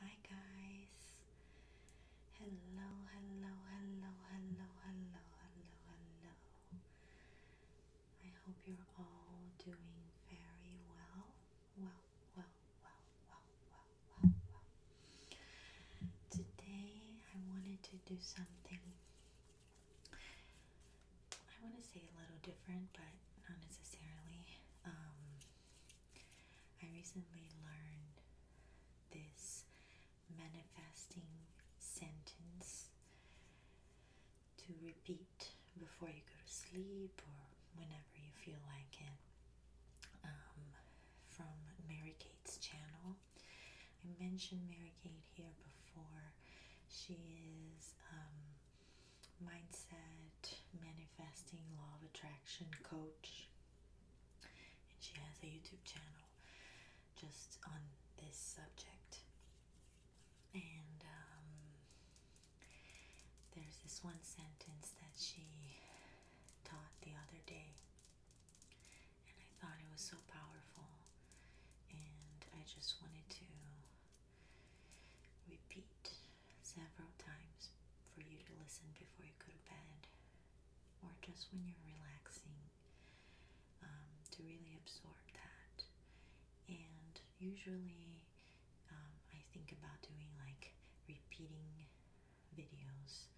Hi guys. Hello, hello, hello, hello, hello, hello, hello. I hope you're all doing very well. Well, well, well, well, well, well, well. Today I wanted to do something I want to say a little different, but not necessarily. Um, I recently learned this manifesting sentence to repeat before you go to sleep or whenever you feel like it um, from Mary Kate's channel. I mentioned Mary Kate here before. She is um, mindset, manifesting, law of attraction coach. And she has a YouTube channel just on this subject. And um, there's this one sentence that she taught the other day, and I thought it was so powerful. And I just wanted to Repeat several times for you to listen before you go to bed or just when you're relaxing um, to really absorb that. And usually, um, I think about doing like repeating videos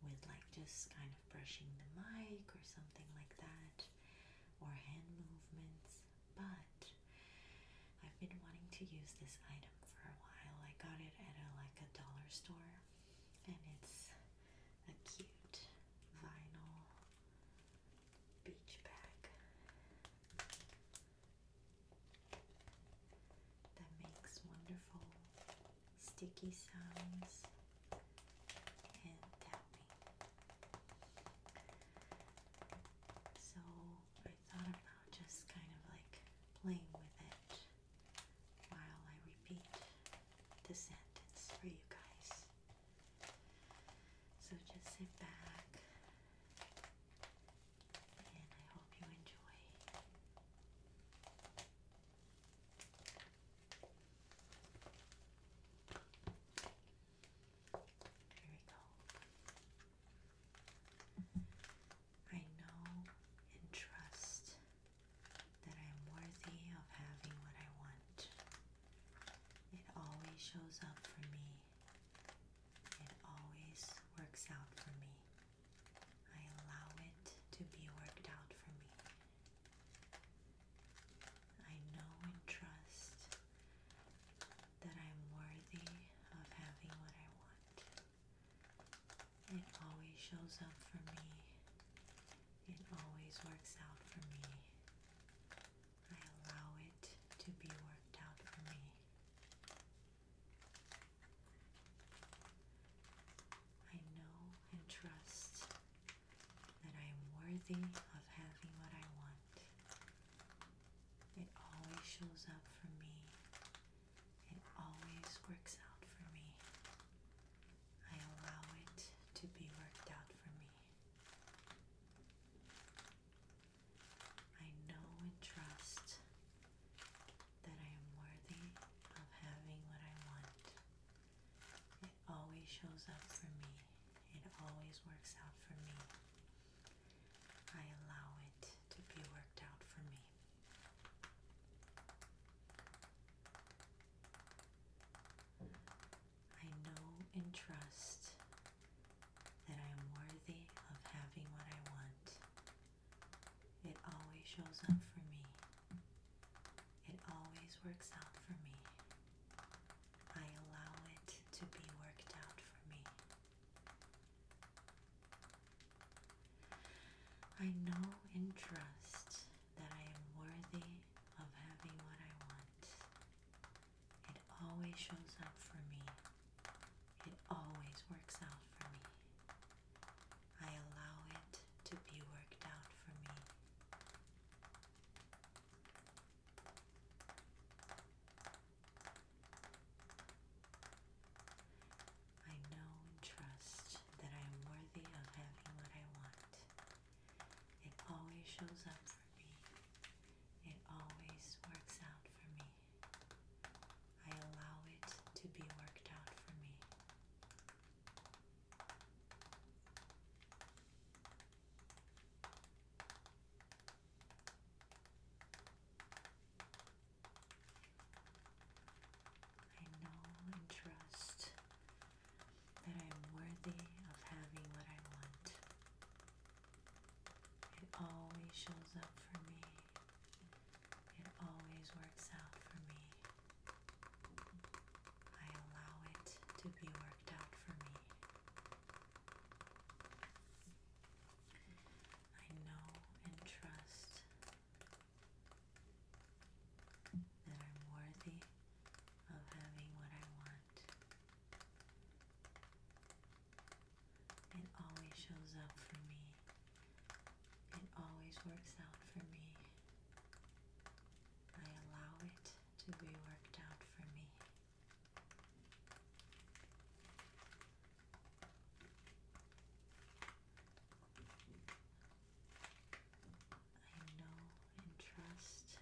with like just kind of brushing the mic or something like that, or hand movements but I've been wanting to use this item for a while. I got it at a like a dollar store and it's a cute vinyl beach bag that makes wonderful sticky sounds and tapping. So I thought about just kind of like playing with it while I repeat the sentence for you guys. So just sit back and I hope you enjoy. Here we go. I know and trust that I am worthy of having what I want. It always shows up for me. It always works out for me. I allow it to be worked out for me. I know and trust that I'm worthy of having what I want. It always shows up for me. It always works out for me. I allow it to be worked out for me. I know and trust that I am worthy of having what I want. It always shows up for me. It always works out for me. I allow it to be worked out for me. I know and trust that I am worthy of having what I want. It always shows up for me. It always works out for me. I allow it to be worked out for me. I know and trust that I am worthy of having what I want. It always shows up for me. It always works out for me. I allow it to be worked out for me. I know and trust that I am worthy of having what I want. It always shows up for me. It always works out for me. I allow it to be worked out for me. I know and trust that I am worthy of having what I want. It always shows up for me. It always works out for me. I allow it to be worked out for me. I know and trust that I am worthy of having what I want. It always shows up for me. It always works out for me. I allow it to be worked out for me. I know and trust that I'm worthy of having what I want. It always shows up for me. It always works out for me. I allow it to be worked out for me. I know and trust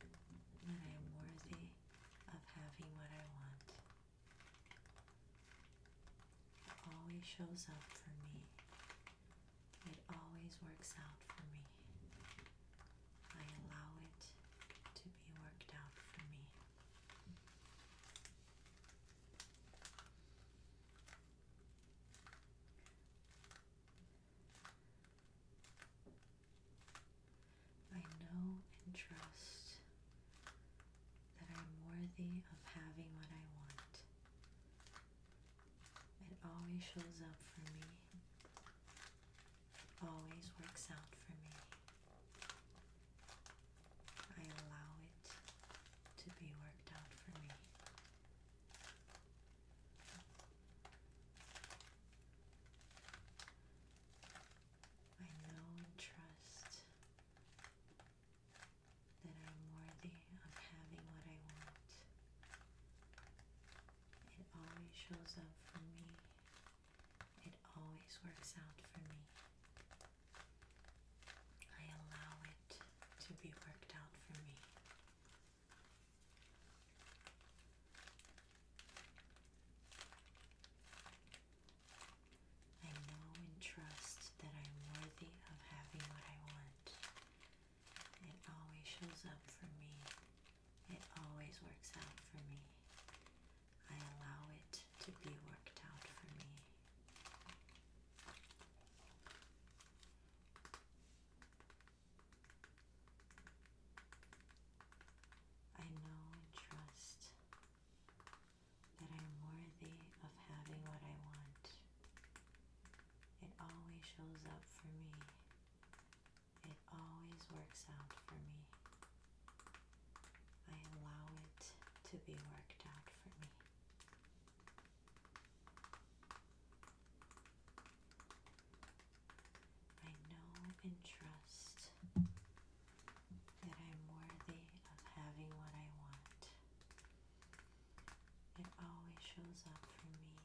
that I am worthy of having what I want. Always shows up for me it always works out for me. I allow it to be worked out for me. I know and trust that I'm worthy of having what I want. It always shows up for me always works out for me. I allow it to be worked out for me. I know and trust that I'm worthy of having what I want. It always shows up for me. It always works out for me. I allow it to be worked out for me. I know and trust that I'm worthy of having what I want. It always shows up for me. It always works out for me. I allow it to be worked out for me. I know and trust that I'm worthy of having what I want. It always shows up for me. It always works out for me. I allow it to be worked out for me. I know and trust that I'm worthy of having what I want. It always shows up for me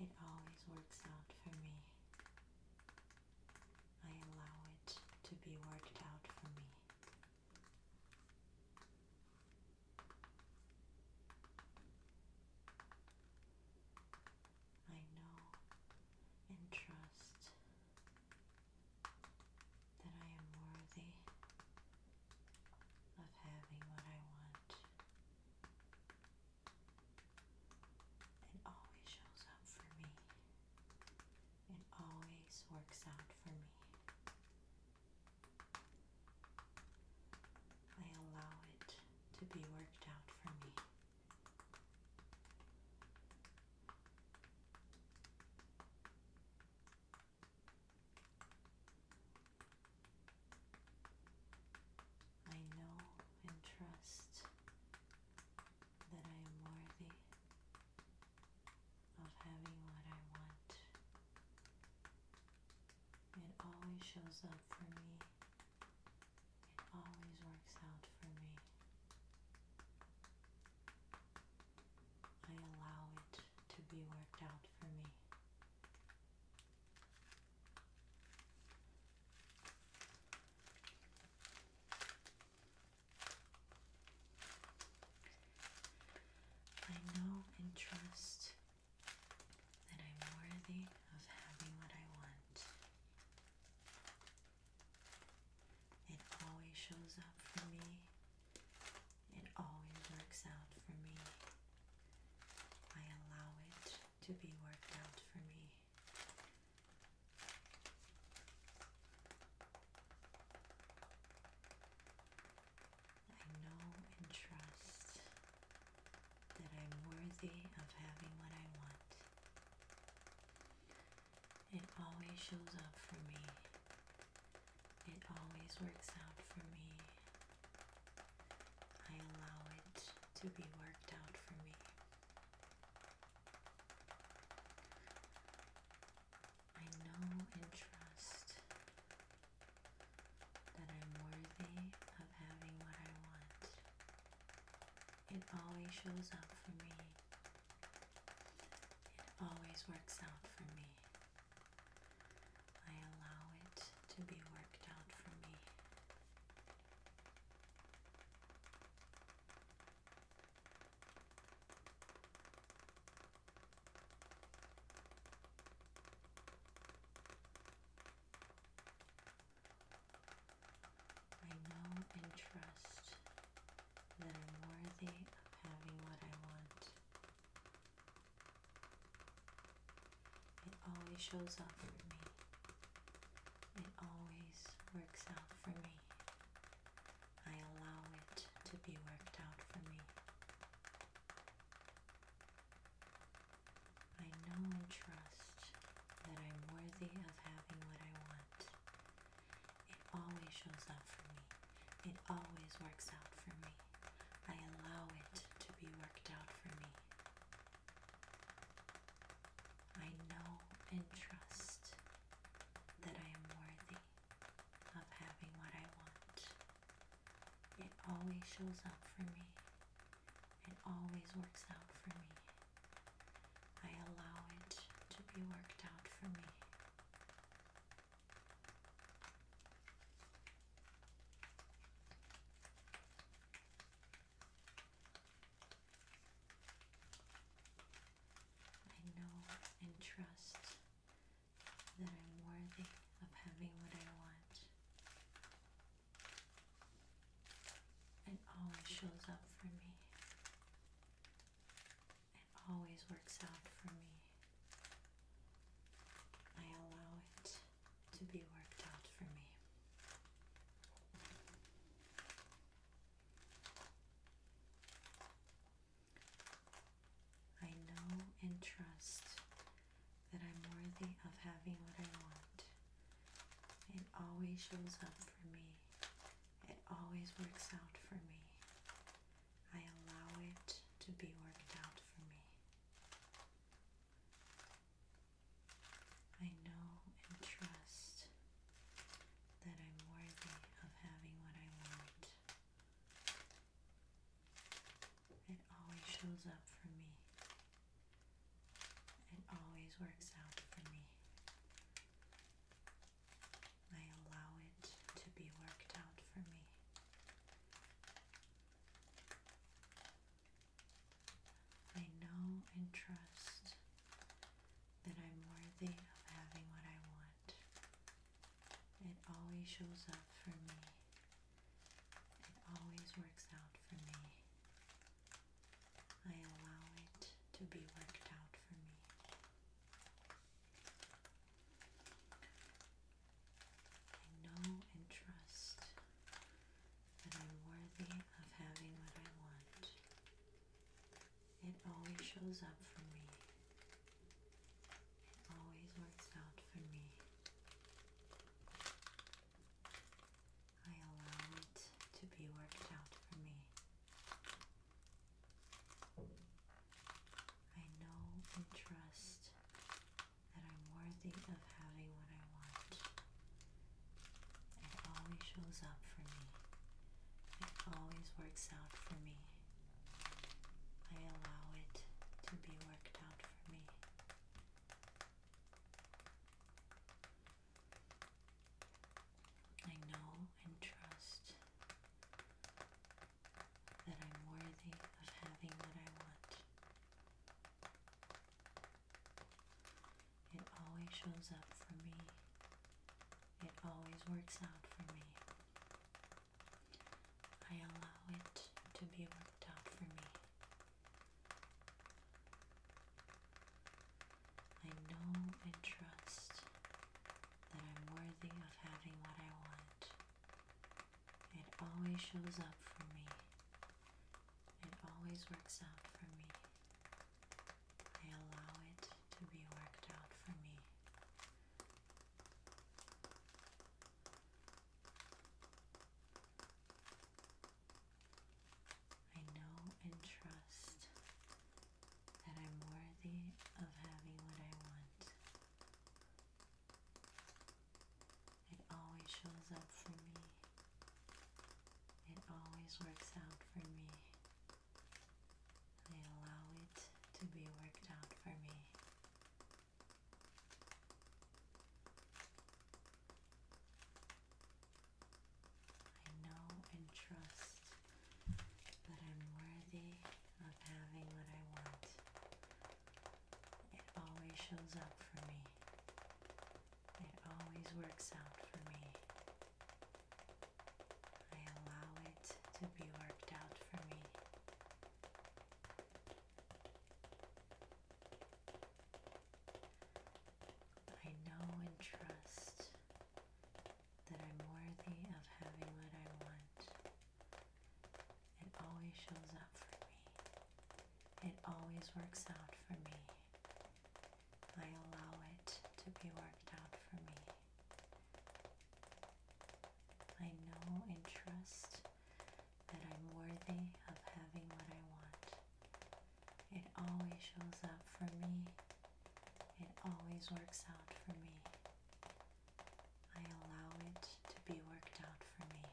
it always works out for me. I allow it to be worked out for me. I know and trust that I am worthy of having what I want. It always shows up for me. It always works out for me. I allow it to be worked out for me. I know and trust that I am worthy of having what I want. It always shows up for me. It always works out for me. I allow it to be worked out for me. I know and trust that I'm worthy of having what I want. It always shows up for me it always works out for me. I allow it to be worked out for me. I know and trust that I'm worthy of having what I want. It always shows up for me it always works out for me. I allow it to be worked out for me. I know and trust that I'm worthy of having what I want. It always shows up for me. It always works out for me. I allow it to be worked out for me. I know and trust that I'm worthy of having what I want. It always shows up for me. It always works out for me. I allow it to be worked out for me. I know and trust that I'm worthy of having what I want. It always shows up for me. It always works out for me. I allow it to be worked out for me. I know and trust that I am worthy of having what I want. It always shows up for me. It always works out for me. I allow it to be worked out for me. I know and trust that I'm worthy of having what I want. It always shows up for me. It always works out for me. I allow it to be worked out for me. I know and trust that I'm worthy of having what I want. It always shows up for me. It always works out for me. I allow it to be worked out for me. I know and trust that I'm worthy of having what I want. It always shows up for me. It always works out for me. I allow it to be worked out for me. I know and trust that I'm worthy of having what I want. It always shows up for me. It always works out for me. I allow it to be worked out for me. I know and trust that I'm worthy of having what I want. It always shows up for me. It always works out for me. I allow it to be worked out for me. I know and trust that I'm worthy of having what I want. It always shows up for me. It always works out for me. I allow it to be worked out for me. I know and trust that I'm worthy of having what I want. It always shows up for me. It always works out for me. I allow it to be worked out for me. I know and trust that I'm worthy of having what I want. It always shows up for me. It always works out for me. I allow it to be worked out for me. I know and trust that I'm worthy of having what I want. It always shows up for me. It always works out for me. I allow it to be worked out for me. I know and trust but I'm worthy of having what I want. It always shows up for me. It always works out for me. I allow it to be worked out for me. I know and trust that I'm worthy of having what I want. It always shows up for me. It always works out for me. I allow it to be worked out for me. I know and trust that I'm worthy of having what I want. It always shows up for me. It always works out for me. I allow it to be worked out for me.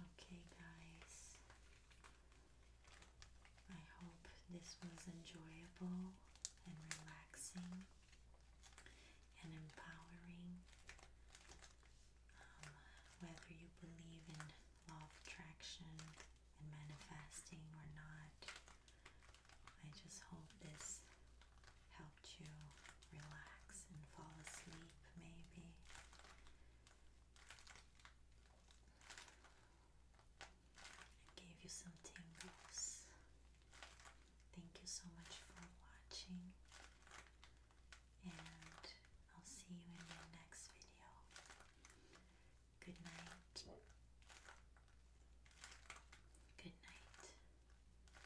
Okay, guys, I hope this was enjoyable and relaxing and empowering. Um, whether you believe in law of attraction and manifesting or not, I just hope this helped you relax and fall asleep, maybe. gave you some tingles. Thank you so much for watching and I'll see you in my next video. Good night. Good night.